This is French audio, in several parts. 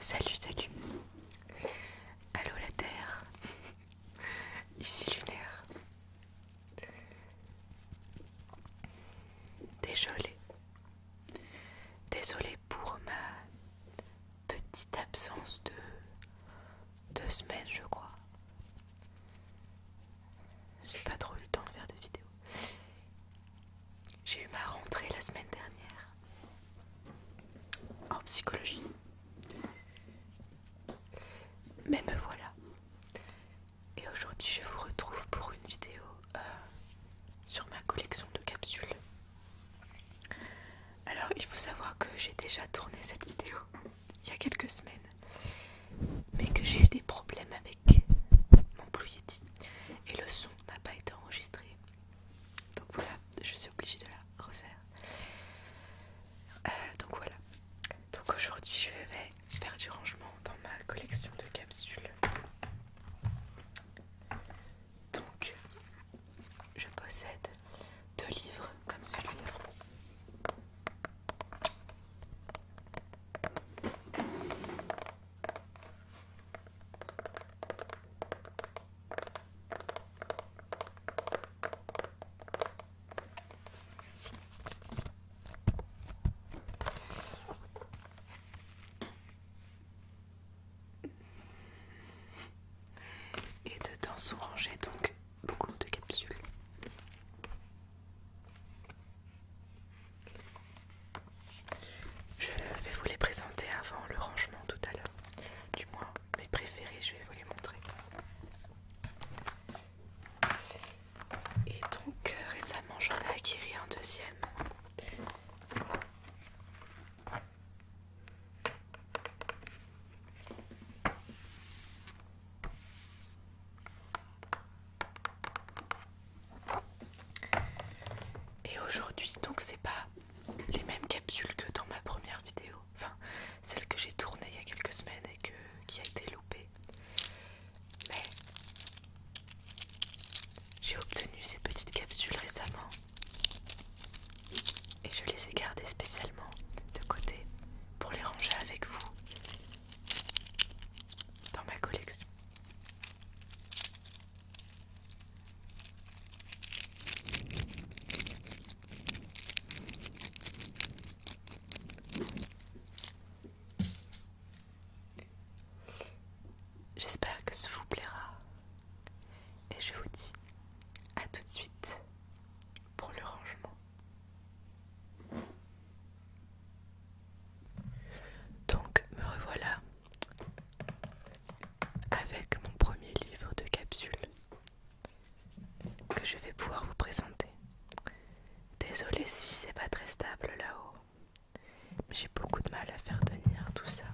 Salut, salut. Allô la Terre. Ici Lunaire. Désolée. Désolée pour ma petite absence de deux semaines, je crois. J'ai pas trop eu le temps de faire de vidéos. J'ai eu ma rentrée la semaine dernière en psychologie. Mais me voilà. Et aujourd'hui, je vous retrouve pour une vidéo euh, sur ma collection de capsules. Alors, il faut savoir que j'ai déjà tourné cette vidéo il y a quelques semaines, mais que j'ai eu des problèmes avec mon Blue et le son n'a pas été enregistré donc voilà je suis obligée de la refaire euh, donc voilà donc aujourd'hui je vais faire du rangement dans ma collection de capsules donc je possède deux livres comme celui-là et dedans sont rangées donc beaucoup de capsules. Je vais vous les présenter avant le rangement tout à l'heure. Du moins, mes préférés, je vais vous les montrer. Et donc, euh, récemment, j'en ai acquis un deuxième. Et aujourd'hui, donc c'est pas les mêmes capsules que dans ma première vidéo, enfin celle que j'ai tournée il y a quelques semaines et que, qui a été loupée. Mais j'ai obtenu ces petites capsules récemment et je les ai gardées spécialement de côté pour les ranger avec vous dans ma collection. J'espère que ça vous plaira et je vous dis à tout de suite pour le rangement. Donc me revoilà avec mon premier livre de capsules que je vais pouvoir vous présenter. Désolée si c'est pas très stable là-haut, j'ai beaucoup de mal à faire tenir tout ça.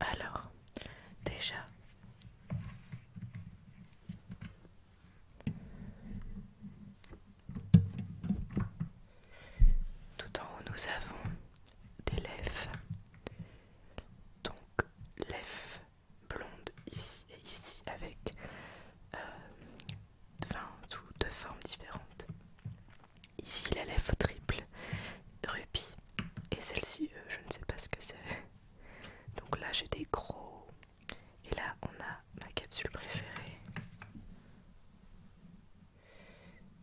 Alors, déjà, tout en haut, nous avons des lèvres. Donc, lèvres blondes ici et ici avec euh, deux formes différentes. Ici la lèvre triple Ruby et celle-ci euh, je ne sais pas ce que c'est. Donc là j'ai des gros et là on a ma capsule préférée.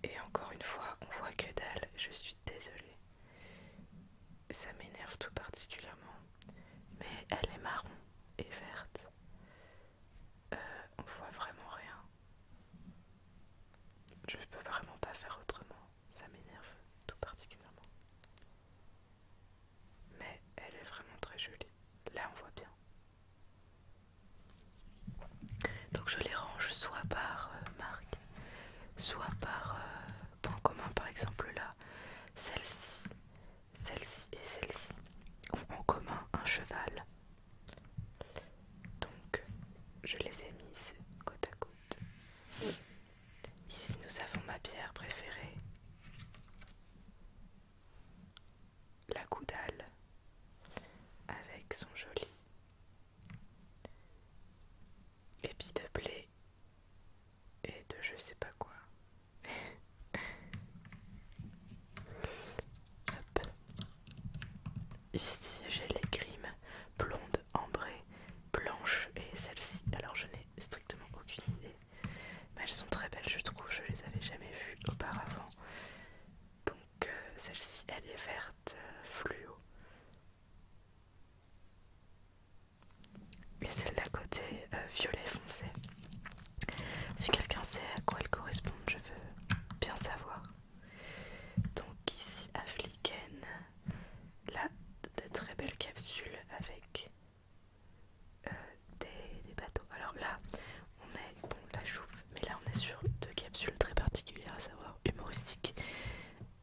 Et encore une fois on voit que dalle, je suis désolée. Ça m'énerve tout particulièrement. Mais elle est marron et verte. On euh, on voit vraiment rien. Je ne peux vraiment pas faire autrement, ça m'énerve tout particulièrement. Mais elle est vraiment très jolie, là on voit bien. Donc je les range soit par euh, marque, soit par en euh, commun, par exemple là, celle-ci, celle-ci et celle-ci ont en commun un cheval. Donc, je les ai mises côte à côte. Ici, nous avons ma pierre préférée, la goudale, avec son joli épi de blé et de je sais pas quoi. Hop. Ici j'ai les grimes blondes, ambrées, blanches et celle-ci. Alors je n'ai strictement aucune idée. Mais elles sont très belles je trouve, je les avais jamais vues auparavant. Donc euh, celle-ci elle est verte euh, fluo. Et celle d'à côté euh, violet foncé. Si quelqu'un sait à quoi elles correspondent, je veux bien savoir. Donc ici Africaine, là de très belles capsules avec euh, des, bateaux. Alors là on est, bon la chouffe, mais là on est sur deux capsules très particulières, à savoir humoristiques,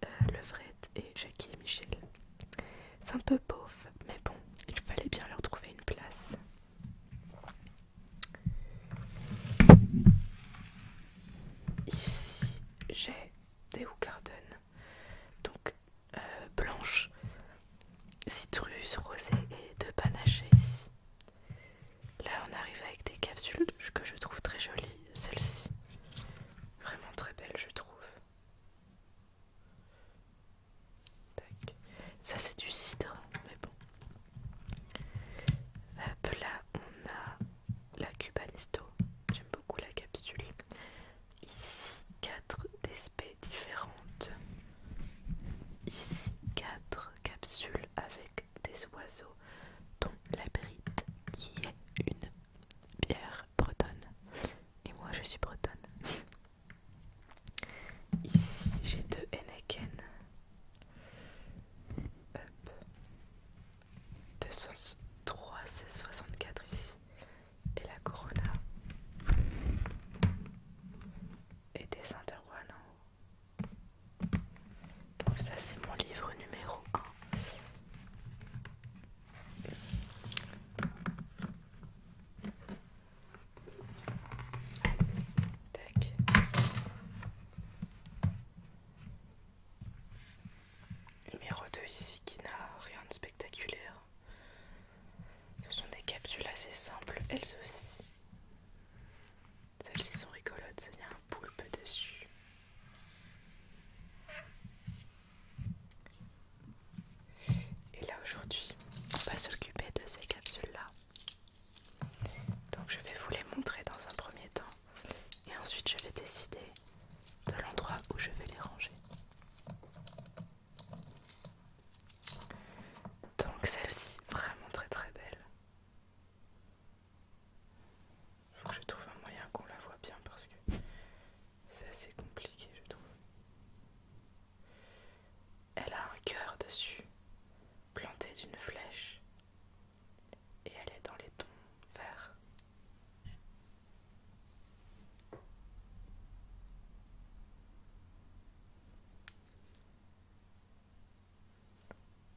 euh, Levrette et Jackie et Michel. C'est un peu pauvre, mais bon, il fallait bien leur trouver une place. Ici, j'ai des Garden, donc euh, blanches, blanche, citrus, rosé et de panaché ici. Là, on arrive avec des capsules que je trouve très jolies. Celle-ci, vraiment très belle, je trouve. Tac. Ça, c'est du cidre, mais bon. Hop là, on a la Cubanisto. J'aime beaucoup la capsule. Ici, 4 d'espèces différentes. Ici, 4 capsules avec des oiseaux, dont la Brite, qui est une bière bretonne. Et moi, je suis bretonne. Ici, j'ai deux Henneken. Hop. 203, soixante 64 ici. Et la Corona. Et des interro en Donc ça c'est mon livre numéro 1. Numéro 2 ici qui n'a rien de spectaculaire. Ce sont des capsules assez simples, elles aussi. Celles-ci sont rigolotes, ça vient un poulpe dessus. Et là aujourd'hui, on va s'occuper de ces capsules-là. Donc je vais vous les montrer dans un premier temps et ensuite je vais décider de l'endroit où je vais les ranger. Donc celle-ci, vraiment très très belle. Faut que je trouve un moyen qu'on la voit bien parce que c'est assez compliqué je trouve. Elle a un cœur dessus, planté d'une flèche et elle est dans les tons verts.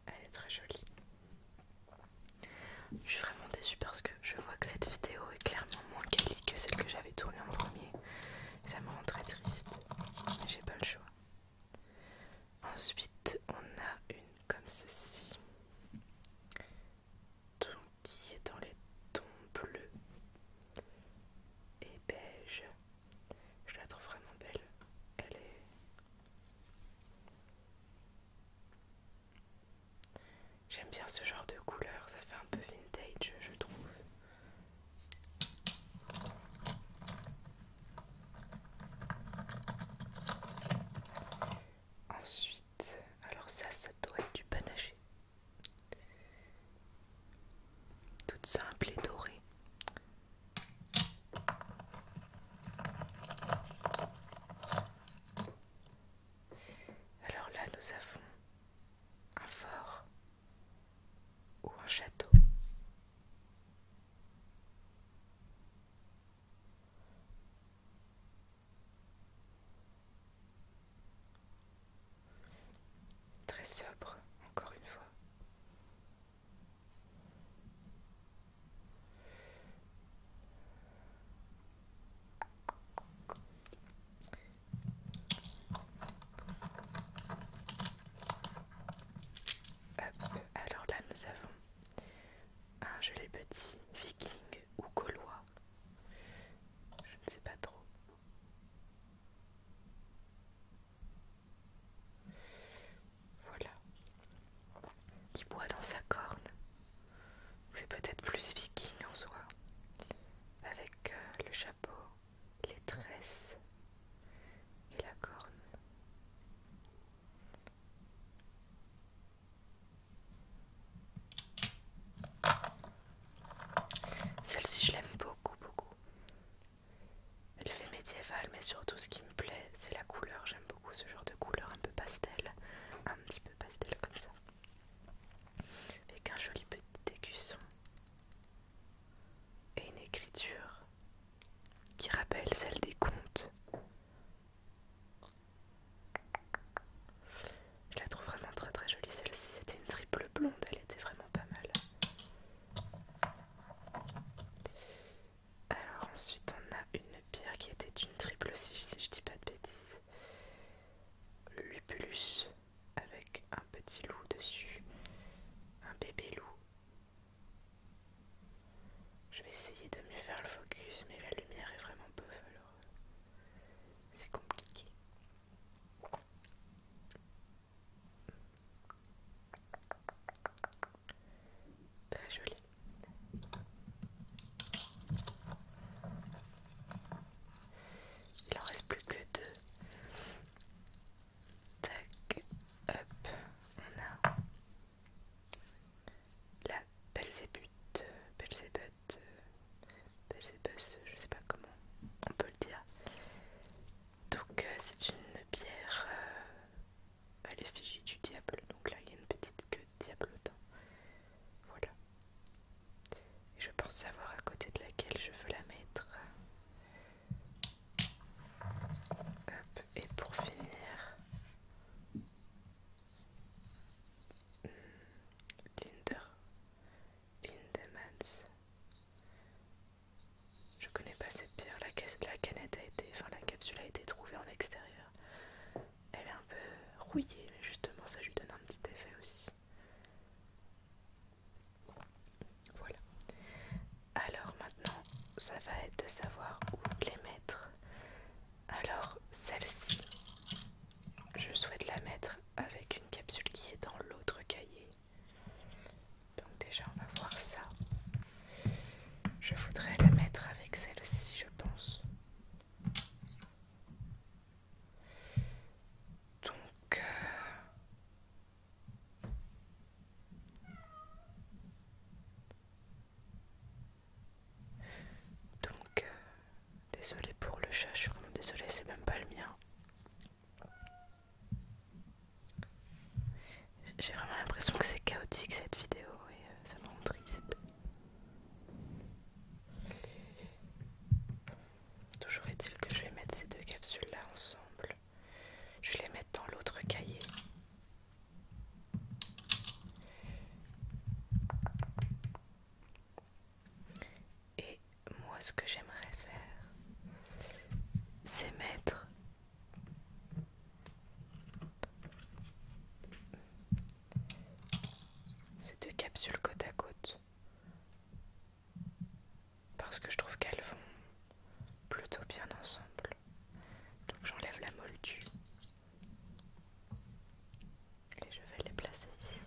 Elle est très jolie. Je suis vraiment déçue parce que je vois que cette vidéo est clairement moins quali que celle que j'avais tournée en premier. Ça me rend très triste. J'ai pas le choix. Ensuite, on a une comme ceci, qui est dans les tons bleus et beige. Je la trouve vraiment belle. Elle est. J'aime bien ce genre de couleur, ça fait un peu vintage, je trouve. Ensuite, alors ça, ça doit être du panaché. Toute simple et dorée. Alors là, nous avons un fort ou un château. Très sobre, encore une fois. Alors là, nous avons un ah, joli petit viking ou gaulois. Je ne sais pas trop. Voilà. Qui boit dans sa corne. C'est peut-être plus viking en soi. Avec euh, le chapeau, les tresses et la corne. Celle-ci, je l'aime beaucoup, beaucoup. Elle fait médiévale, mais surtout ce qui me plaît, c'est la couleur. J'aime beaucoup ce genre de couleur un peu pastel, un petit peu pastel comme ça. Avec un joli petit écusson et une écriture qui rappelle celle des contes. Je la trouve vraiment très très jolie celle-ci, c'était une triple blonde, elle était vraiment pas mal. Alors ensuite on a une pierre qui était une triple si je, dis pas de bêtises. Lupulus avec un petit loup dessus, un bébé loup je vais essayer de mieux faire le focus, mais la lumière est vraiment peu alors c'est compliqué. Pas joli. Il en reste plus que deux. Tac, hop, on a la Belzébuth, euh, Belzébuth, euh, Belzébus, euh, je sais pas comment on peut le dire. Donc c'est une bière à l'effigie du diable. Donc là il y a une petite queue de diablotin. Voilà. Et je pense savoir à côté de laquelle je veux la mettre et pour finir, Linder, Lindemans. Je connais pas cette pierre. La, la canette a été, enfin la capsule a été trouvée en extérieur. Elle est un peu rouillée, mais justement ça lui donne un petit effet aussi. Voilà. Alors maintenant, ça va être de savoir où les mettre. Alors celle-ci, je souhaite la mettre avec une capsule qui est dans l'autre cahier. Donc déjà, on va voir ça. Je voudrais la mettre avec celle-ci, je pense. Donc, euh, donc, euh, désolé pour le chat, je suis vraiment désolée, c'est même pas le mien. J'ai vraiment l'impression que c'est chaotique cette vidéo et euh, ça me rend triste. Toujours est-il que je vais mettre ces deux capsules là ensemble. Je vais les mettre dans l'autre cahier. Et moi, ce que j'aimerais faire, c'est mettre ces deux capsules côte à côte parce que je trouve qu'elles vont plutôt bien ensemble. Donc j'enlève la moldue et je vais les placer ici.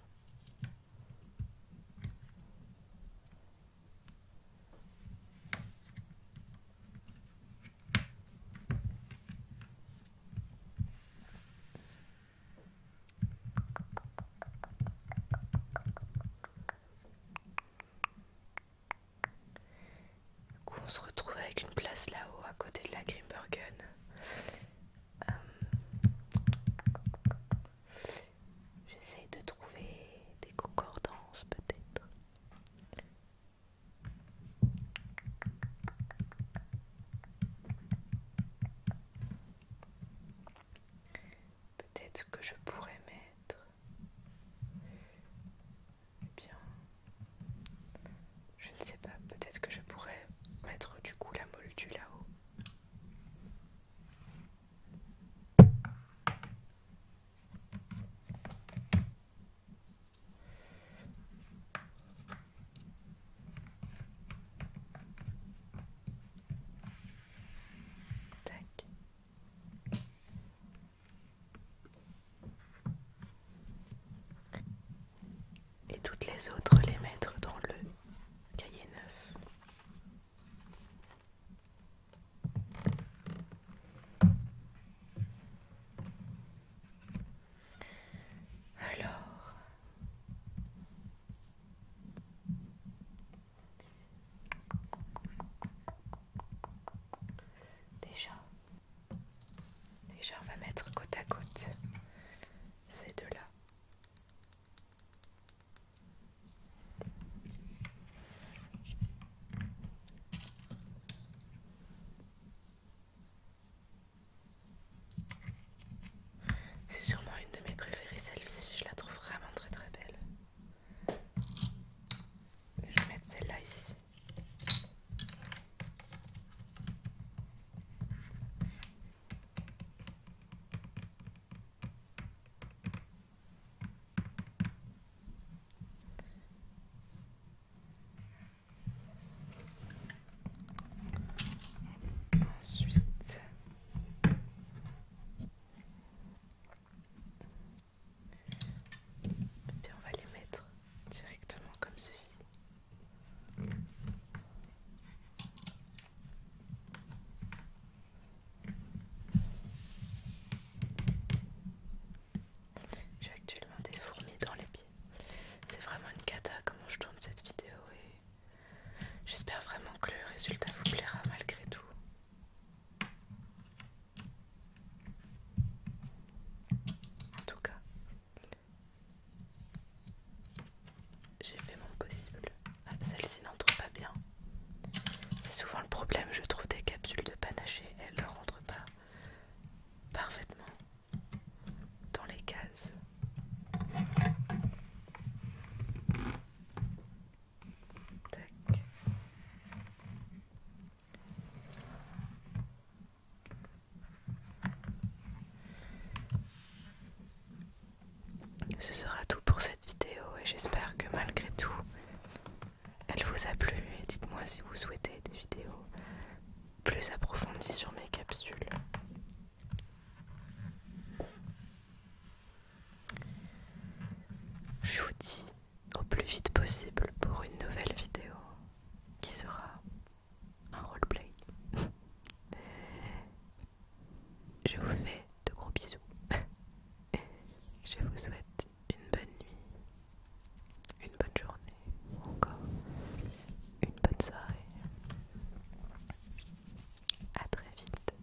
Du coup, on se retrouve avec une place là-haut à côté de la Grimbergen. Euh, J'essaie de trouver des concordances peut-être. Peut-être que je pourrais mettre eh bien, je ne sais pas, peut-être que je pourrais mettre du coup la module là-haut. Tac et toutes les autres les mettre dans le cahier neuf. Alors, Déjà, déjà on va mettre côte à côte ces deux-là. C'est sûrement une de mes préférées, celle-ci, je la trouve vraiment très très belle. Je vais mettre celle-là ici. Ensuite, et puis on va les mettre directement comme ceci. J'ai actuellement des fourmis dans les pieds. C'est vraiment une cata comment je tourne cette vidéo et j'espère vraiment que le résultat vous plaira malgré tout. En tout cas, j'ai fait mon possible. Ah, Celle-ci n'entre pas bien. C'est souvent le problème, je trouve des capsules de panaché, elles ne rentrent pas parfaitement dans les cases. Tac. Ce sera tout pour cette vidéo et j'espère que malgré tout, elle vous a plu et dites-moi si vous souhaitez des vidéos plus approfondies sur mes capsules. Je vous dis au plus vite possible pour une nouvelle vidéo qui sera un roleplay. Je vous fais de gros bisous. Je vous souhaite une bonne nuit, une bonne journée ou encore une bonne soirée. À très vite.